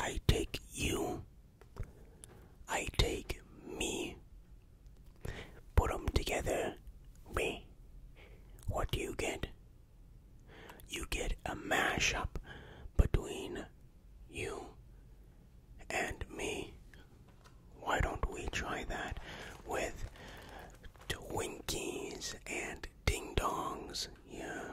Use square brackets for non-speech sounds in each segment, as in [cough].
I take you. I take me. Put them together. Me. What do you get? You get a mashup between you and me. Why don't we try that with Twinkies and Ding Dongs? Yeah.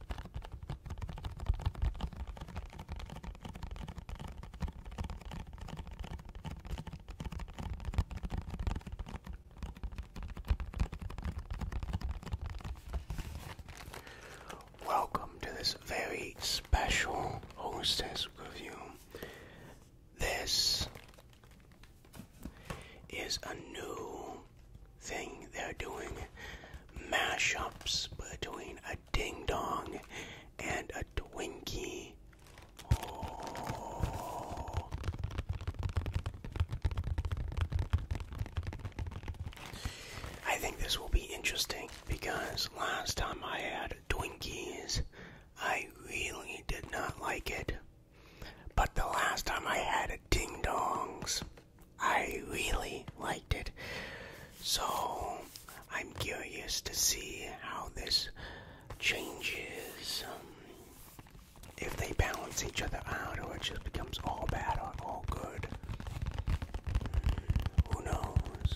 Welcome to this very special hostess review. This is a new thing. They're doing mashups between a ding dong and a Twinkie. I think this will be interesting because last time I had Twinkies, I really did not like it. But the last time I had it, Ding Dongs, I really liked it. So I'm curious to see how this changes. Um, if they balance each other out, or it just becomes all bad or all good. Hmm, who knows?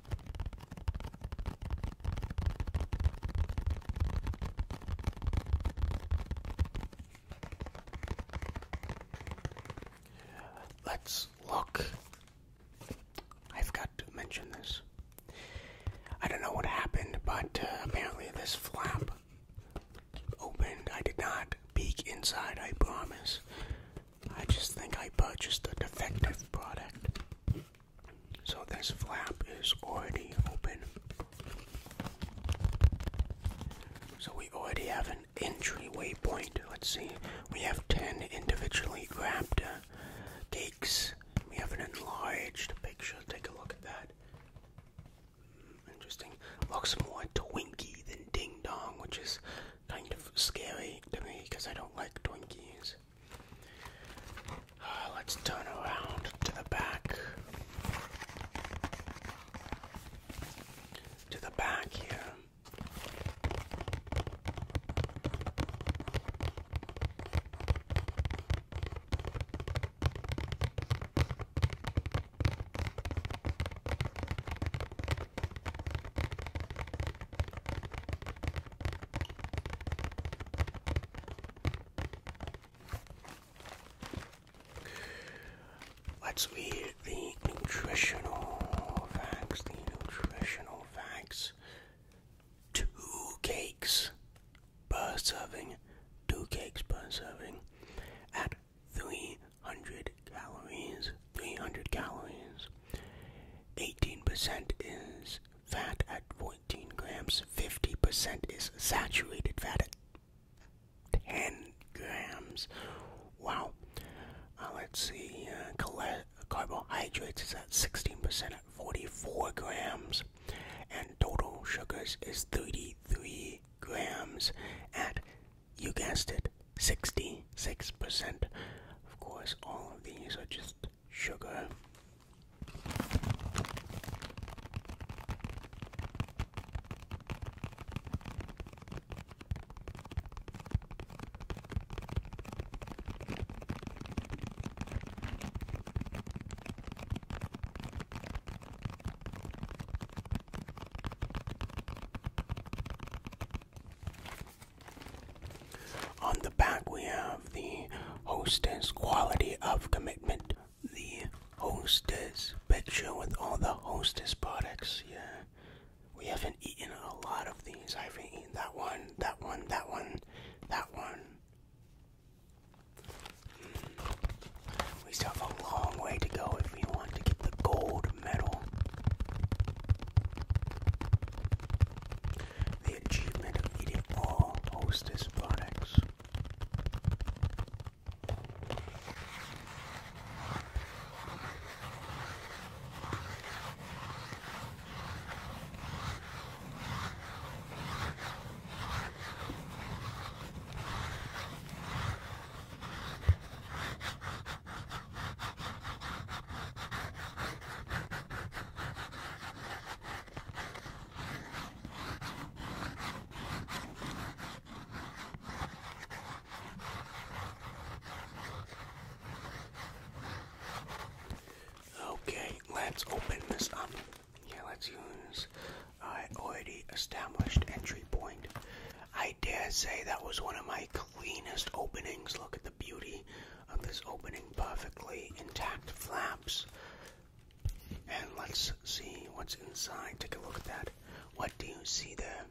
Let's look. I've got to mention this. I don't know what happened, but uh, apparently this flap opened. I did not peek inside, I promise. I just think I purchased a defective product. So this flap is already open. So we already have an entry waypoint. Let's see. We have 10 individually grabbed uh, cakes. We have an enlarged picture. Take a look at that. Hmm, interesting. Looks more Twinkie than Ding Dong, which is kind of scary to me because I don't like Twinkies. Uh, let's turn around to the back. To the back here. Let's read the nutritional facts. The nutritional facts. Two cakes per serving. Two cakes per serving at 300 calories. 300 calories. 18% is fat at 14 grams. 50% is saturated fat at 10 grams. Wow. Uh, let's see. Uh, carbohydrates is at 16% at 44 grams. And total sugars is 33 grams at, you guessed it, 66%. Of course, all of these are just sugar. On the back, we have the hostess quality of commitment. The hostess picture with all the hostess products. Yeah, we haven't eaten a lot of these. I have eaten that one, that one, that one, that one. We still have a long way to go if we want to get the gold medal. The achievement of eating all Hostess products. Okay, let's open this up. Yeah, let's use I already established entry point. I dare say that was one of my cleanest openings. Look at the the beauty of this opening perfectly intact flaps. And let's see what's inside. Take a look at that. What do you see there?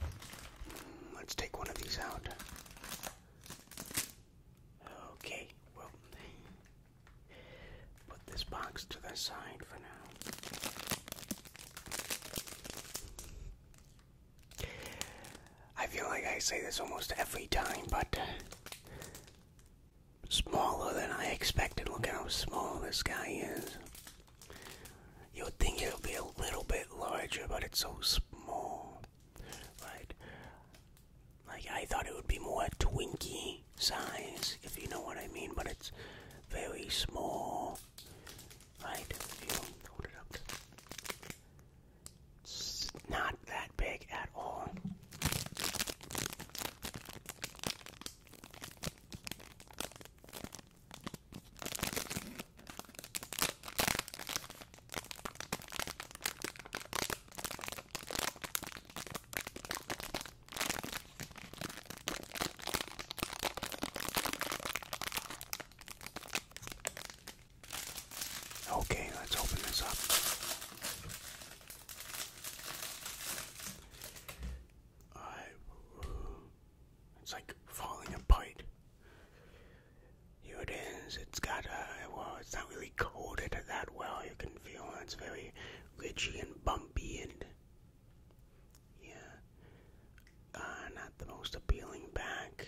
Hmm, let's take one of these out. Okay, well, put this box to the side for now. I feel like I say this almost every time, but smaller than I expected. Look how small this guy is. You would think it would be a little bit larger, but it's so small. Right? Like, I thought it would be more Twinkie size, if you know what I mean, but it's very small right? you hold it up, it's not that big at all. Okay, let's open this up. it's like falling apart. Here it is. It's got a well. It's not really coated that well. You can feel it's very ridgy and bumpy and yeah. Uh, not the most appealing back.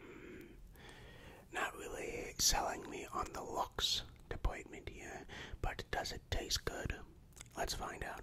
Hmm. Not really selling me on the looks department here, but does it taste good? Let's find out.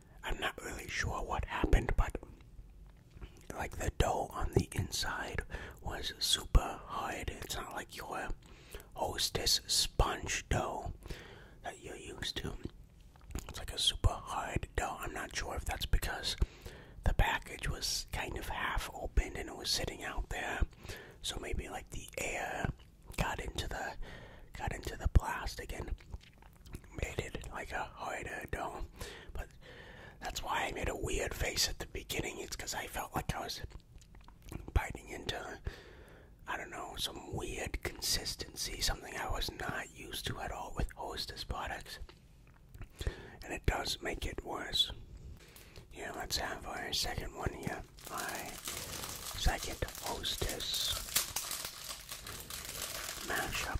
I'm not really sure what happened, but like the dough on the inside was super hard. It's not like your hostess sponge dough that you're used to. It's like a super hard dough. I'm not sure if that's because the package was kind of half open and it was sitting out there. So maybe like the air got into the got into the plastic and made it like a harder dome. But that's why I made a weird face at the beginning. It's because I felt like I was biting into, I don't know, some weird consistency, something I was not used to at all with Hostess products. And it does make it worse. Yeah, let's have our second one here. My second Hostess mashup.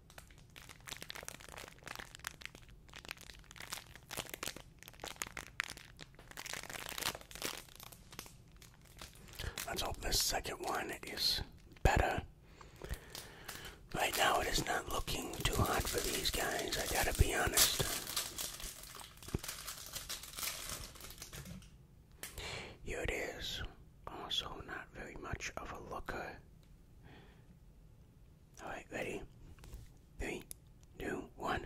Let's hope this second one is better. Right now, it is not looking too hot for these guys, I gotta be honest. Here it is, also not very much of a looker. Alright, ready? Three, two, one.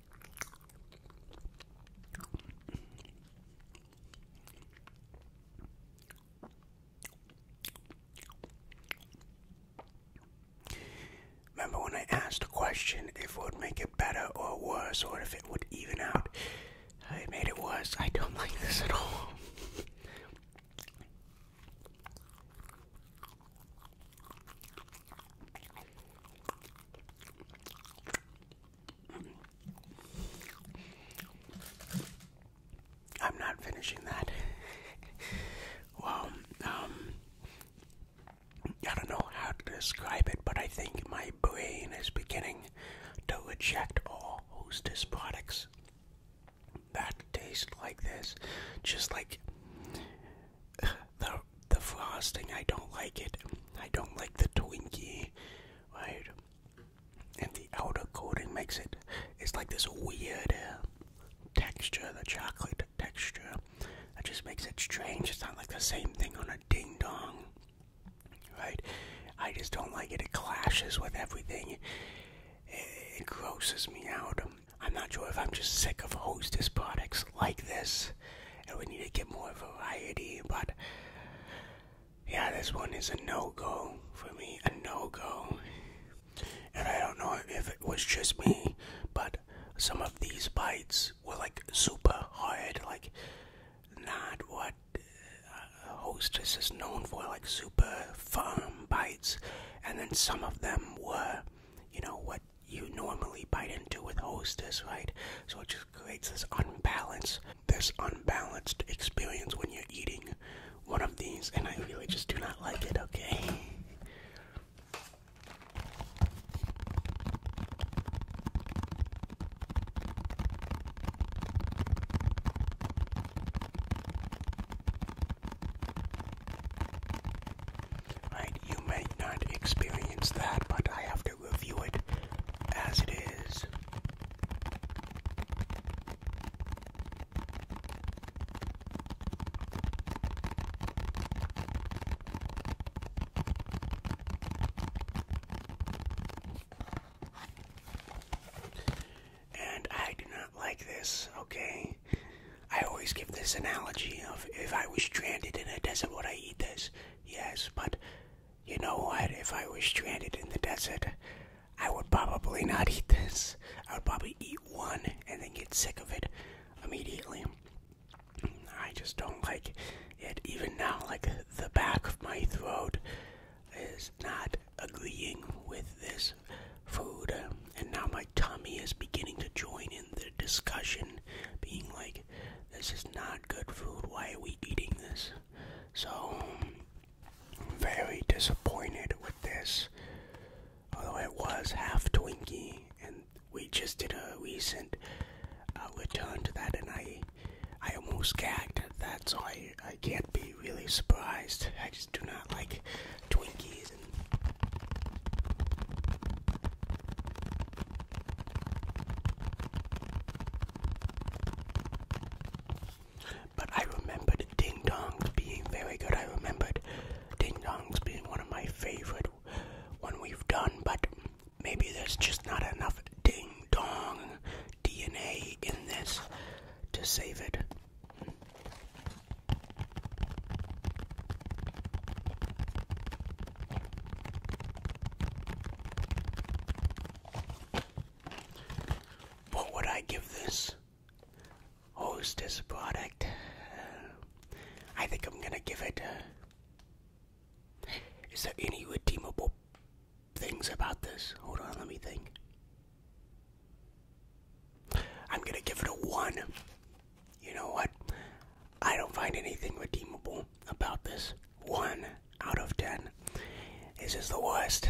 Remember when I asked a question if it would make it better or worse or if it would even out? I made it worse. I don't like this at all. I'm not finishing that. [laughs] well, um, I don't know how to describe it, but I think my brain is beginning to reject all hostess products that taste like this. Just like the the frosting. I don't like it. I don't like the Twinkie, right? And the outer coating makes it. It's like this weird uh, texture, the chocolate texture. That just makes it strange. It's not like the same thing on a ding dong, right? I just don't like it. It clashes with everything. it grosses me out. I'm not sure if I'm just sick of Hostess products like this, and we need to get more variety, but yeah, this one is a no go for me. A no go. And I don't know if it was just me, but some of these bites were like super hard, like not what uh, Hostess is known for, like super firm bites. And then some of them were, you know, what you normally bite into with hostess, right? So it just creates this unbalance, this unbalanced experience when you're eating one of these, and I really just do not like it, okay? Right, you may not experience that, but I have to review it as it is. And I do not like this, okay? I always give this analogy of if I was stranded in a desert, would I eat this? Yes, but you know what? If I was stranded in the desert, I would probably not eat this. I would probably eat one and then get sick of it immediately. I just don't like it. Even now, like the back of my throat is not agreeing with this food, and now my Tommy is beginning to join in the discussion, being like, this is not good food, why are we eating this? So, I'm very disappointed with this. Although it was half Twinkie, and we just did a recent uh, return to that, and I I almost gagged at that, so I, I can't be really surprised. I just do not like Twinkies and but I remembered Ding Dongs being very good. I remembered Ding Dongs being one of my favorite one we've done, but maybe there's just not enough Ding Dong DNA in this to save it. What would I give this Host hostess product? I think I'm gonna give it. Uh, is there any redeemable things about this? Hold on, let me think. I'm gonna give it a one. You know what? I don't find anything redeemable about this. One out of ten. This is the worst.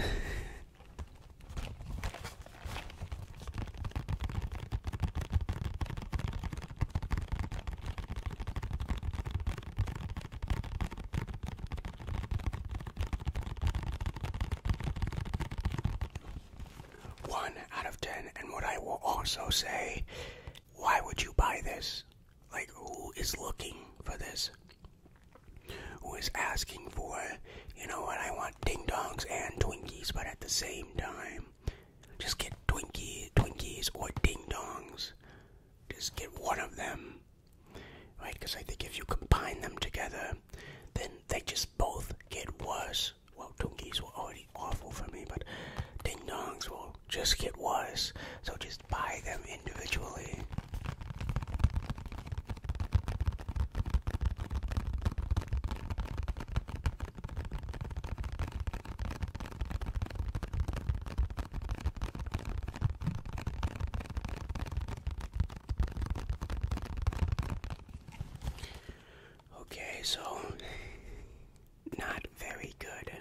1 out of 10. And what I will also say, why would you buy this? Like, who is looking for this? Who is asking for, you know what, I want ding dongs and Twinkies, but at the same time, just get Twinkie, Twinkies or ding dongs. Just get one of them. Right? Because I think if you combine them together, then they just both get worse. Well, donkeys were already awful for me, but ding dongs will just get worse. So just buy them individually. Okay, so not very good.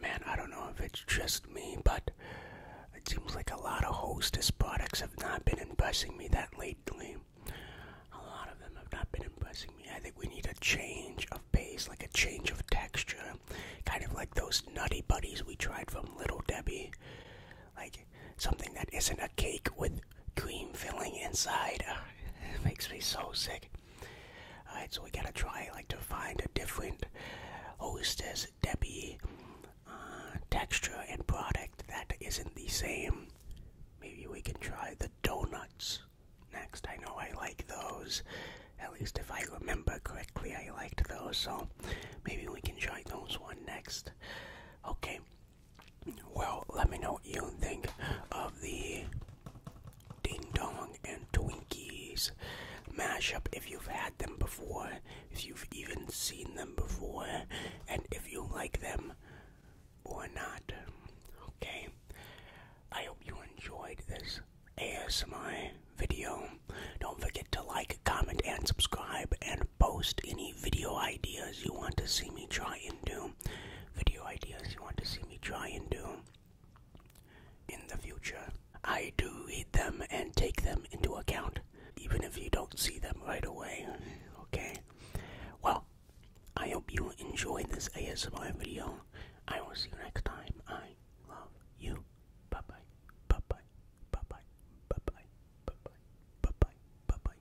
Man, I don't know if it's just me, but it seems like a lot of Hostess products have not been impressing me that lately. A lot of them have not been impressing me. I think we need a change of pace, like a change of texture kind of like those nutty buddies we tried from Little Debbie. Like something that isn't a cake with cream filling inside. Ah, makes me so sick. Alright, so we gotta try like to find a different hostess Debbie uh, texture and product that isn't the same. Maybe we can try the donuts next. I know I like those. At least if I remember correctly, I liked those, so maybe we can try those one next. Okay. Well, let me know what you think of the Ding Dong and Twinkies mashup if you've had them before, if you've even seen them before, and if you like them or not. Okay. I hope you enjoyed this ASMI video. Don't forget to like, comment, and subscribe, and post any video ideas you want to see me try and do. Video ideas you want to see me try and do in the future. I do read them and take them into account, even if you don't see them right away. Okay? Well, I hope you enjoyed this ASMR video. I will see you next time. I love you. Bye bye. Bye bye. Bye bye. Bye bye. Bye bye. Bye bye. Bye bye.